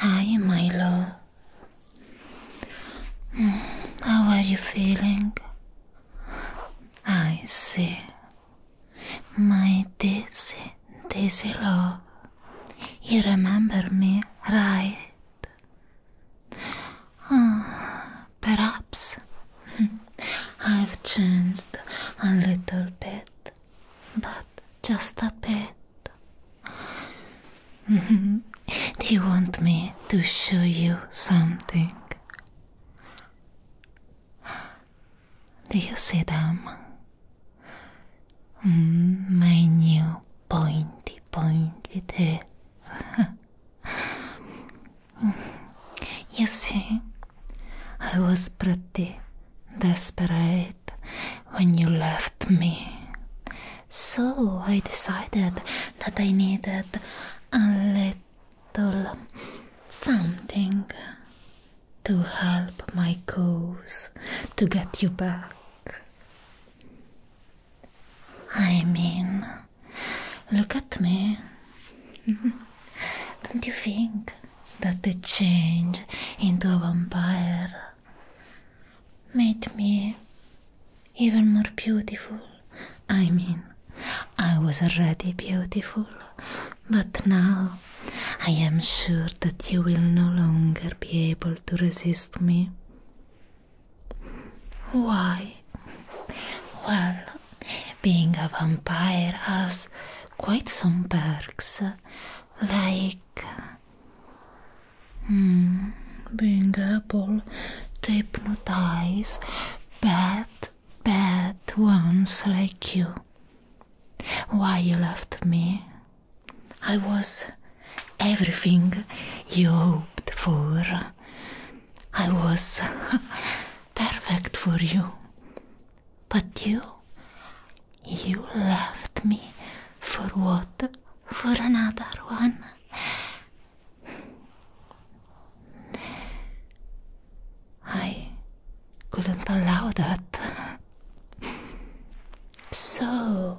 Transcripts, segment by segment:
Hi, my love. How are you feeling? I see. My Daisy, Daisy love. You remember me, right? Ah, perhaps I've changed a little bit, but just a bit. Do you want me to show you something? Do you see them? Mm, my new pointy pointy tail. You see, I was pretty desperate when you left me. So I decided that I needed a little something to help my cause to get you back. I mean, look at me. Don't you think that the change into a vampire made me even more beautiful? I mean, I was already beautiful, but now I am sure that you will no longer be able to resist me. Why? Well, being a vampire has quite some perks, like hmm, being able to hypnotize bad, bad ones like you. Why you left me? I was everything you hoped for. I was perfect for you. But you, you loved me for what? For another one. I couldn't allow that. So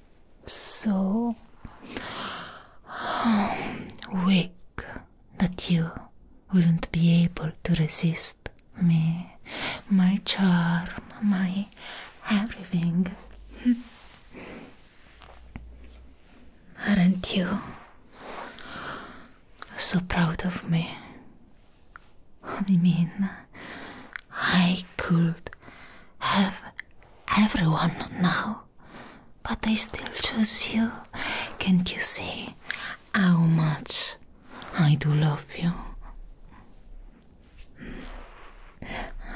so weak that you wouldn't be able to resist me, my charm, my everything. Aren't you so proud of me? I mean, I could have everyone now, but I still choose you. Can't you see how much I do love you?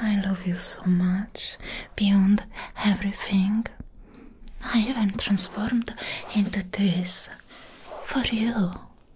I love you so much, beyond everything. I even transformed into this for you.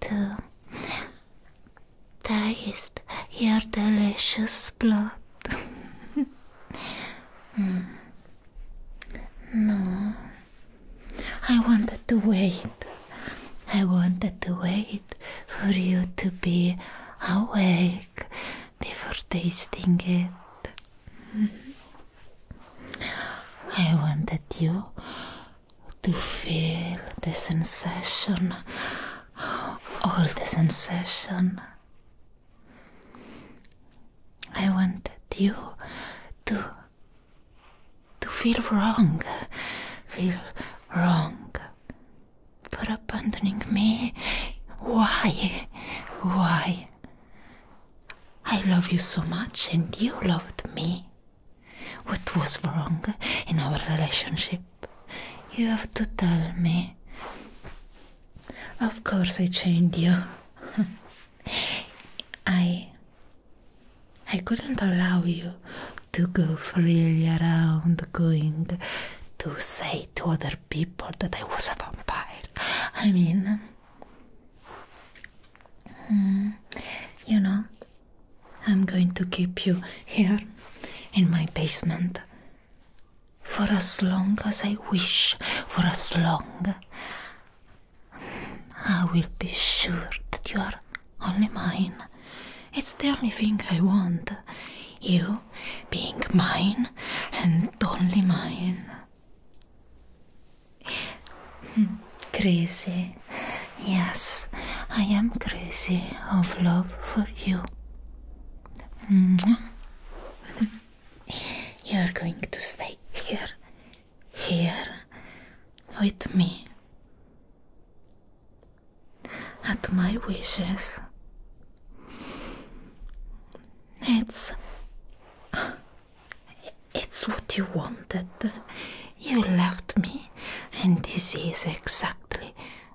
to taste your delicious blood. Hmm. No, I wanted to wait. I wanted to wait for you to be awake before tasting it. Mm-hmm. I wanted you to feel the sensation, all the sensation. I wanted you to to feel wrong, feel wrong for abandoning me. Why? Why? I love you so much and you loved me. What was wrong in our relationship? You have to tell me. Of course, I chained you. I. I couldn't allow you to go freely around going to say to other people that I was a vampire. I mean, hmm, you know, I'm going to keep you here in my basement for as long as I wish, for as long. I will be sure that you are only mine. It's the only thing I want. You being mine and only mine. Hmm, crazy. Yes, I am crazy of love for you. Mm-hmm. You are going to stay here, here, with me. At my wishes. It's. It's what you wanted. You loved me, and this is exactly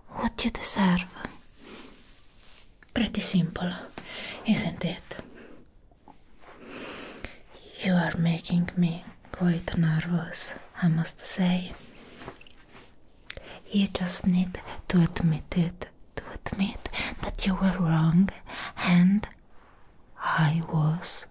what you deserve. Pretty simple, isn't it? You are making me quite nervous, I must say. You just need to admit it, to admit that you were wrong and I was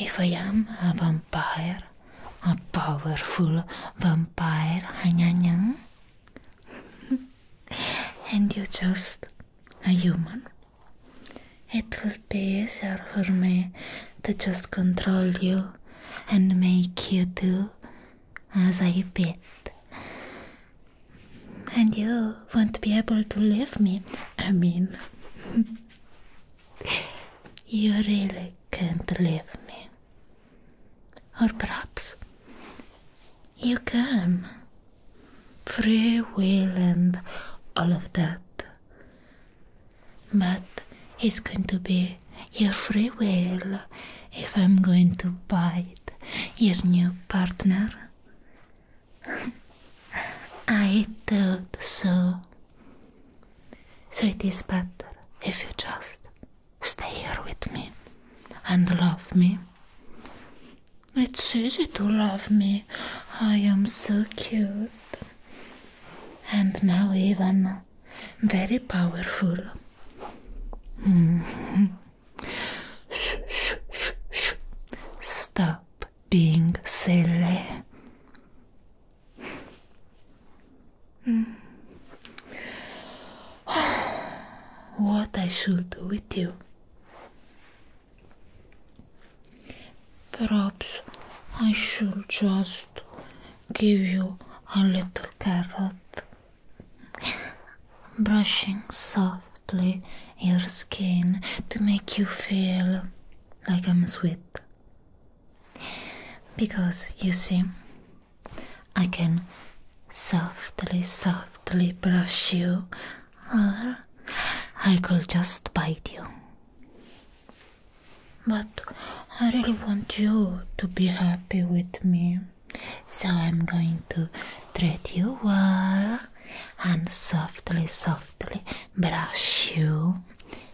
If I am a vampire, a powerful vampire, and you just a human, it would be easier for me to just control you and make you do as I bid. And you won't be able to leave me, I mean. You really can't leave me. Or perhaps you can. Free will and all of that. But it's going to be your free will if I'm going to bite your new partner. I thought so. So it is better if you just stay here with me and love me. It's easy to love me. I am so cute. And now, even very powerful. Mm-hmm. shh, shh, shh, shh. Stop being silly. Mm. what I should do with you? Perhaps I should just give you a little carrot, brushing softly your skin to make you feel like I'm sweet because you see, I can softly, softly brush you, or I could just bite you. But I really want you to be happy with me, so I'm going to treat you well and softly, softly brush you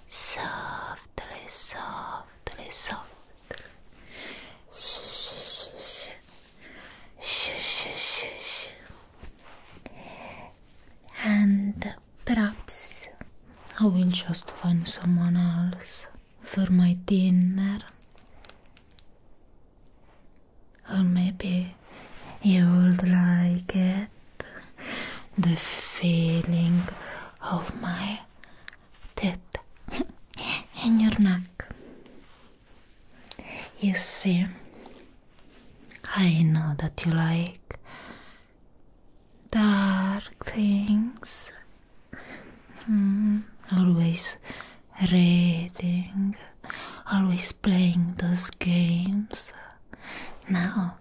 softly, softly, softly. Shh, shh, shh, shh. And perhaps I will just find someone else for my dinner. Or maybe you would like it the feeling of my teeth in your neck. You see, I know that you like dark things. Hmm, always reading, always playing those games. Now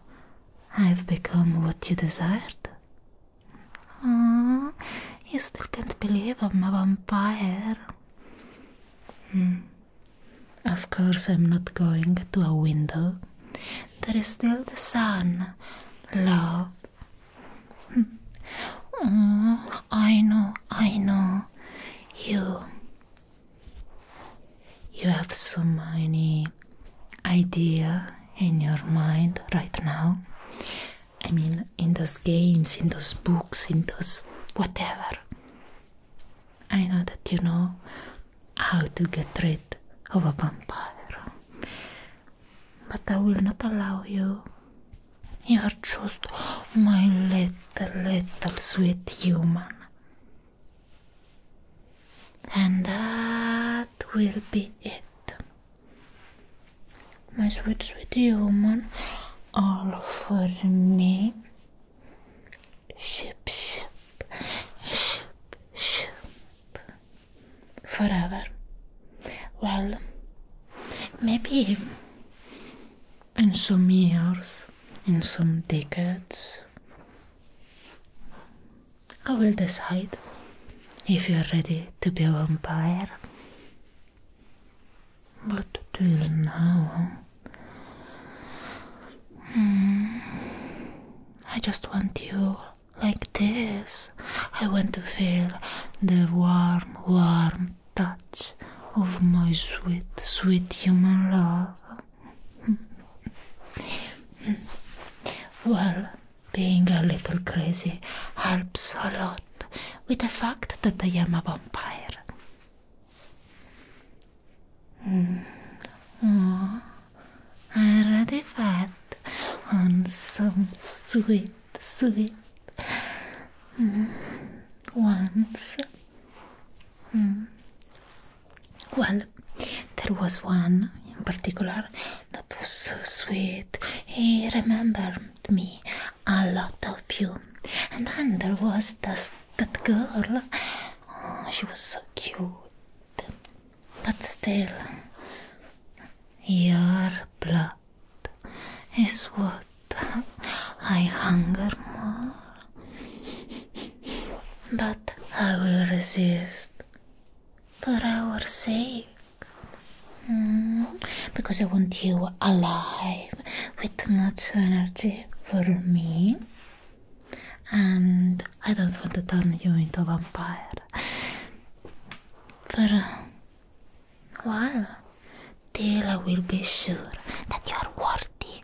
I've become what you desired. Aww, you still can't believe I'm a vampire. Hmm. Of course, I'm not going to a window. There is still the sun. Love. Hmm. I know, I know. You you have so many idea in your mind right now. I mean, in those games, in those books, in those whatever. I know that you know how to get rid of a vampire, but I will not allow you. You are just my little, little sweet human. And that will be it. My sweet, sweet human, all for me. Ship, ship, ship, ship. Forever. Well, maybe in some years, in some decades, I will decide if you're ready to be a vampire. But till now, I just want you like this. I want to feel the warm, warm touch of my sweet, sweet human love well, being a little crazy helps a lot with the fact that I am a vampire. Oh, I already fed some sweet, sweet mm. Well, there was one in particular that was so sweet. He remembered me, a lot of you. And then there was this, that girl. Oh, she was so cute. But still, your blood is what I hunger more but I will resist for our sake. Hmm. because I want you alive with much energy for me. And I don't want to turn you into a vampire. For while, till I will be sure that you are worthy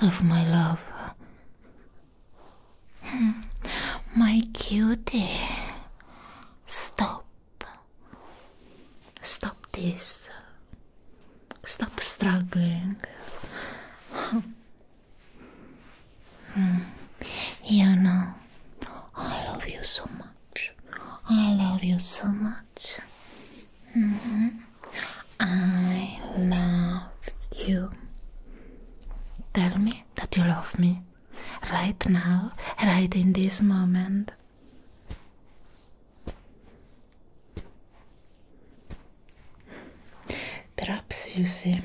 of my love. Hmm. My cutie, stop. Stop this. Stop struggling. Hmm. you know, I love you so much. I love you so much. Mm-hmm. I love you. Tell me that you love me right now, right in this moment. Perhaps you see.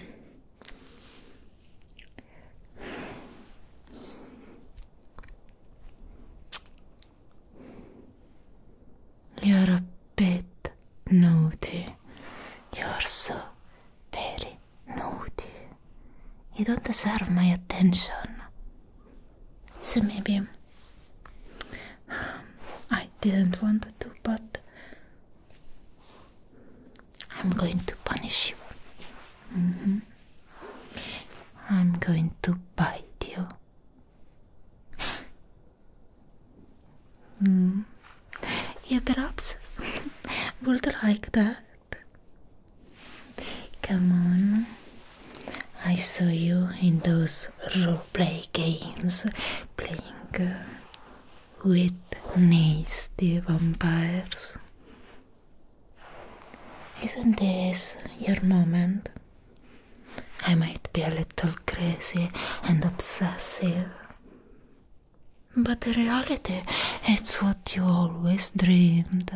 You're a bit naughty. You're so very naughty. You don't deserve my attention. So maybe I didn't want to, but I'm going to punish you. Mm-hmm. I'm going to bite you. Hmm. You perhaps would like that. Come on. I saw you in those roleplay games playing with nasty vampires. Isn't this your moment? I might be a little crazy and obsessive. But the reality, it's what you always dreamed.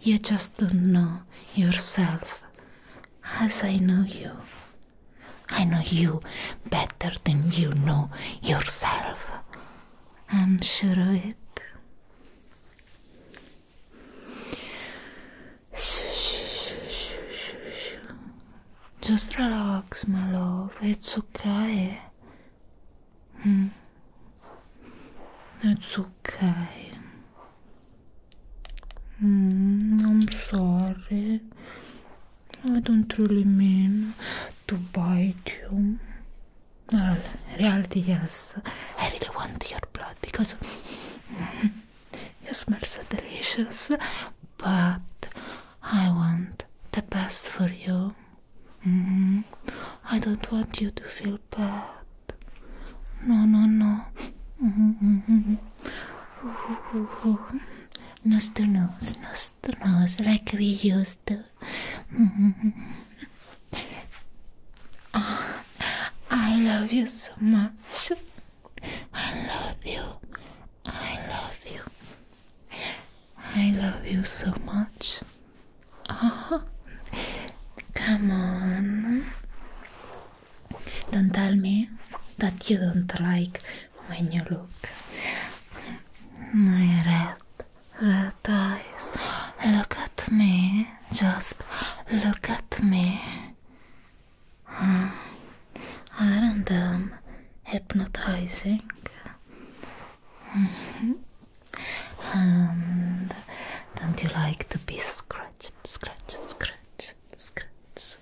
You just don't know yourself as I know you. I know you better than you know yourself. I'm sure of it. Just relax, my love. It's okay. Hmm. It's okay. Hmm, I'm sorry. I don't really mean to bite you. Well, reality, yes. I really want your blood because. It smells delicious, but I want the best for you. Mm -hmm. I don't want you to feel bad. No, no, no. Mm -hmm. Nose to nose, nose to nose, like we used to. Mm -hmm. oh, I love you so much. I love you. I love you. I love you so much. Oh, come on. Don't tell me that you don't like when you look. My red, red eyes. Look at me. Just look at me. Aren't them hypnotizing? and don't you like to be scratched, scratched, scratched, scratched?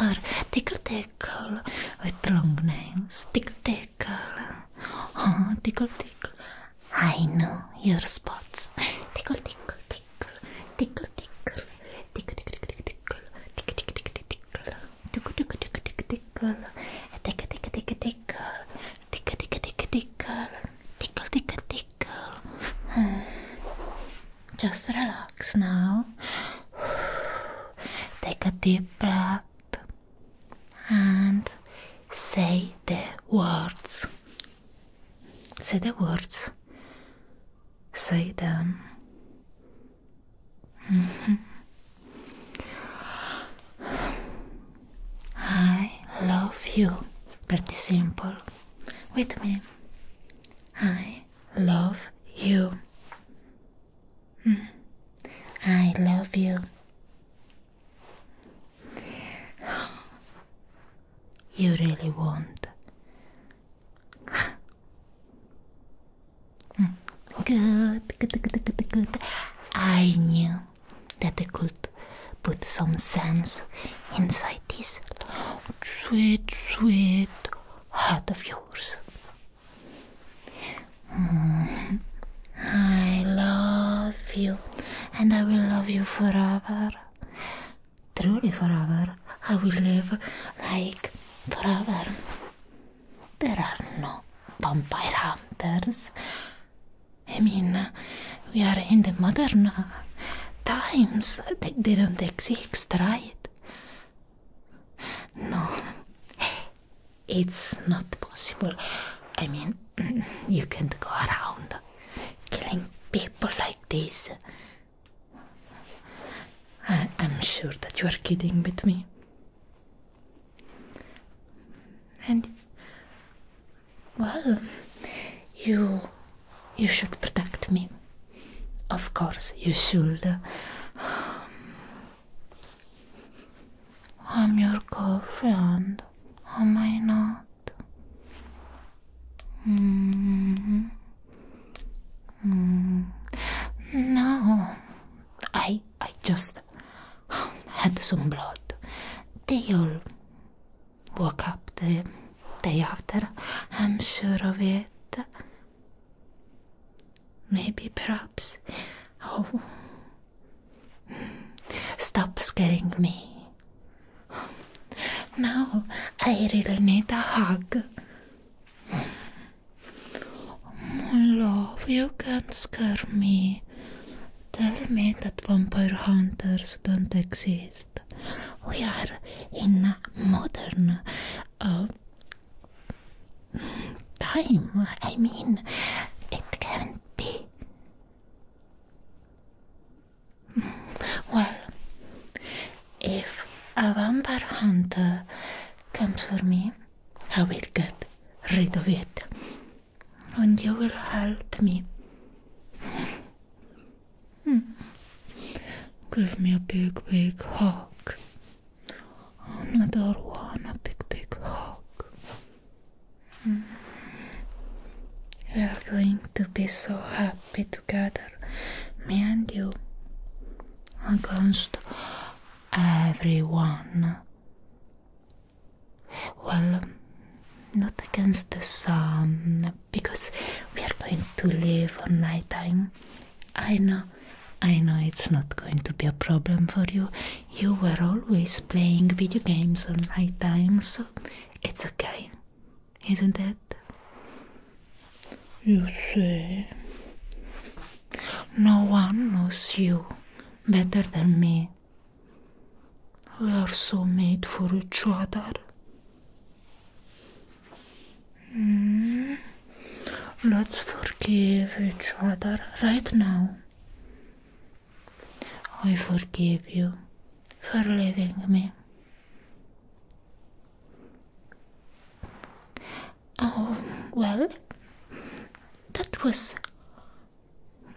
Or tickle tickle with long nails, tickle tickle, oh tickle tickle. I know your spots. Tickle tickle tickle tickle, tickle, tickle, tickle, tickle, tickle, tickle, tickle, tickle, tickle, tickle. Tickle, tickle, tickle, tickle, tickle. Tickle, tickle, tickle, tickle. Tickle, tickle, tickle, tickle. Tickle, tickle, tickle. Just relax now. Take a deep breath and say the words. Say the words. Say them. I love you. Pretty simple. With me. I love you. I love you you really want. Hmm. Good, good, good, good, good. I knew that I could put some sense inside this sweet, sweet heart of yours. Hmm. I love you and I will love you forever. Truly forever. I will live like forever. There are no vampire hunters. I mean, we are in the modern times. They, don't exist, right? No, it's not possible. I mean, you can't go around killing people like this. I I'm sure that you are kidding with me. And well, you you should protect me. Of course, you should. I'm your girlfriend, am I not? Mm-hmm. Mm-hmm. No, I I just had some blood. They all woke up the day after. I'm sure of it. Maybe, perhaps. Oh, stop scaring me. No, I really need a hug. My love, you can't scare me. Tell me that vampire hunters don't exist. We are in modern uh, time. I mean, it can't be. Well, if a vampire hunter comes for me, I will get rid of it. And you will help me. Hmm. Give me a big, big hug. I Another one, a big, big hug. We are going to be so happy together, me and you, against everyone. Well, not against the sun, because we are going to live on night time. I know, I know it's not going to be a problem for you. You were always playing video games on night time, so it's okay isn't it? You say. no one knows you better than me. We are so made for each other. Hmm. Let's forgive each other right now. I forgive you for leaving me. Oh, well, that was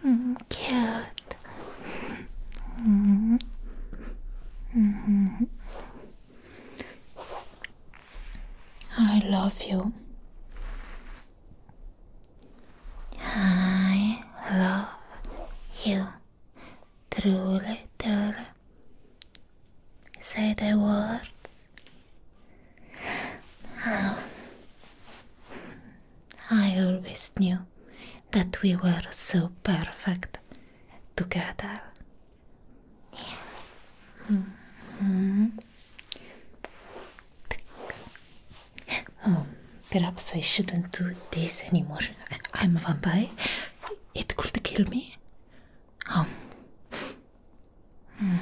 mm, cute. Mm -hmm. Mm I love you. I love you. Truly, truly. Say the word. Oh. I always knew that we were so perfect together. Mm-hmm. Um, perhaps I shouldn't do this anymore. I'm a vampire. It could kill me. Um, hmm,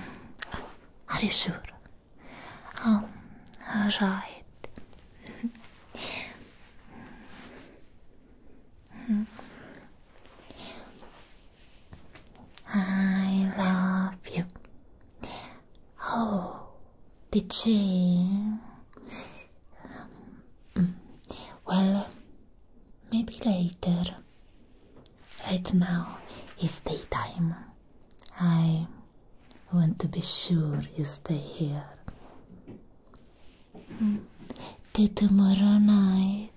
are you sure? Um, right. Hmm. Hmm. I love you. Oh, Pigeon. Mm. Well, maybe later. Right now it's daytime. I want to be sure you stay here. Mm. tomorrow night.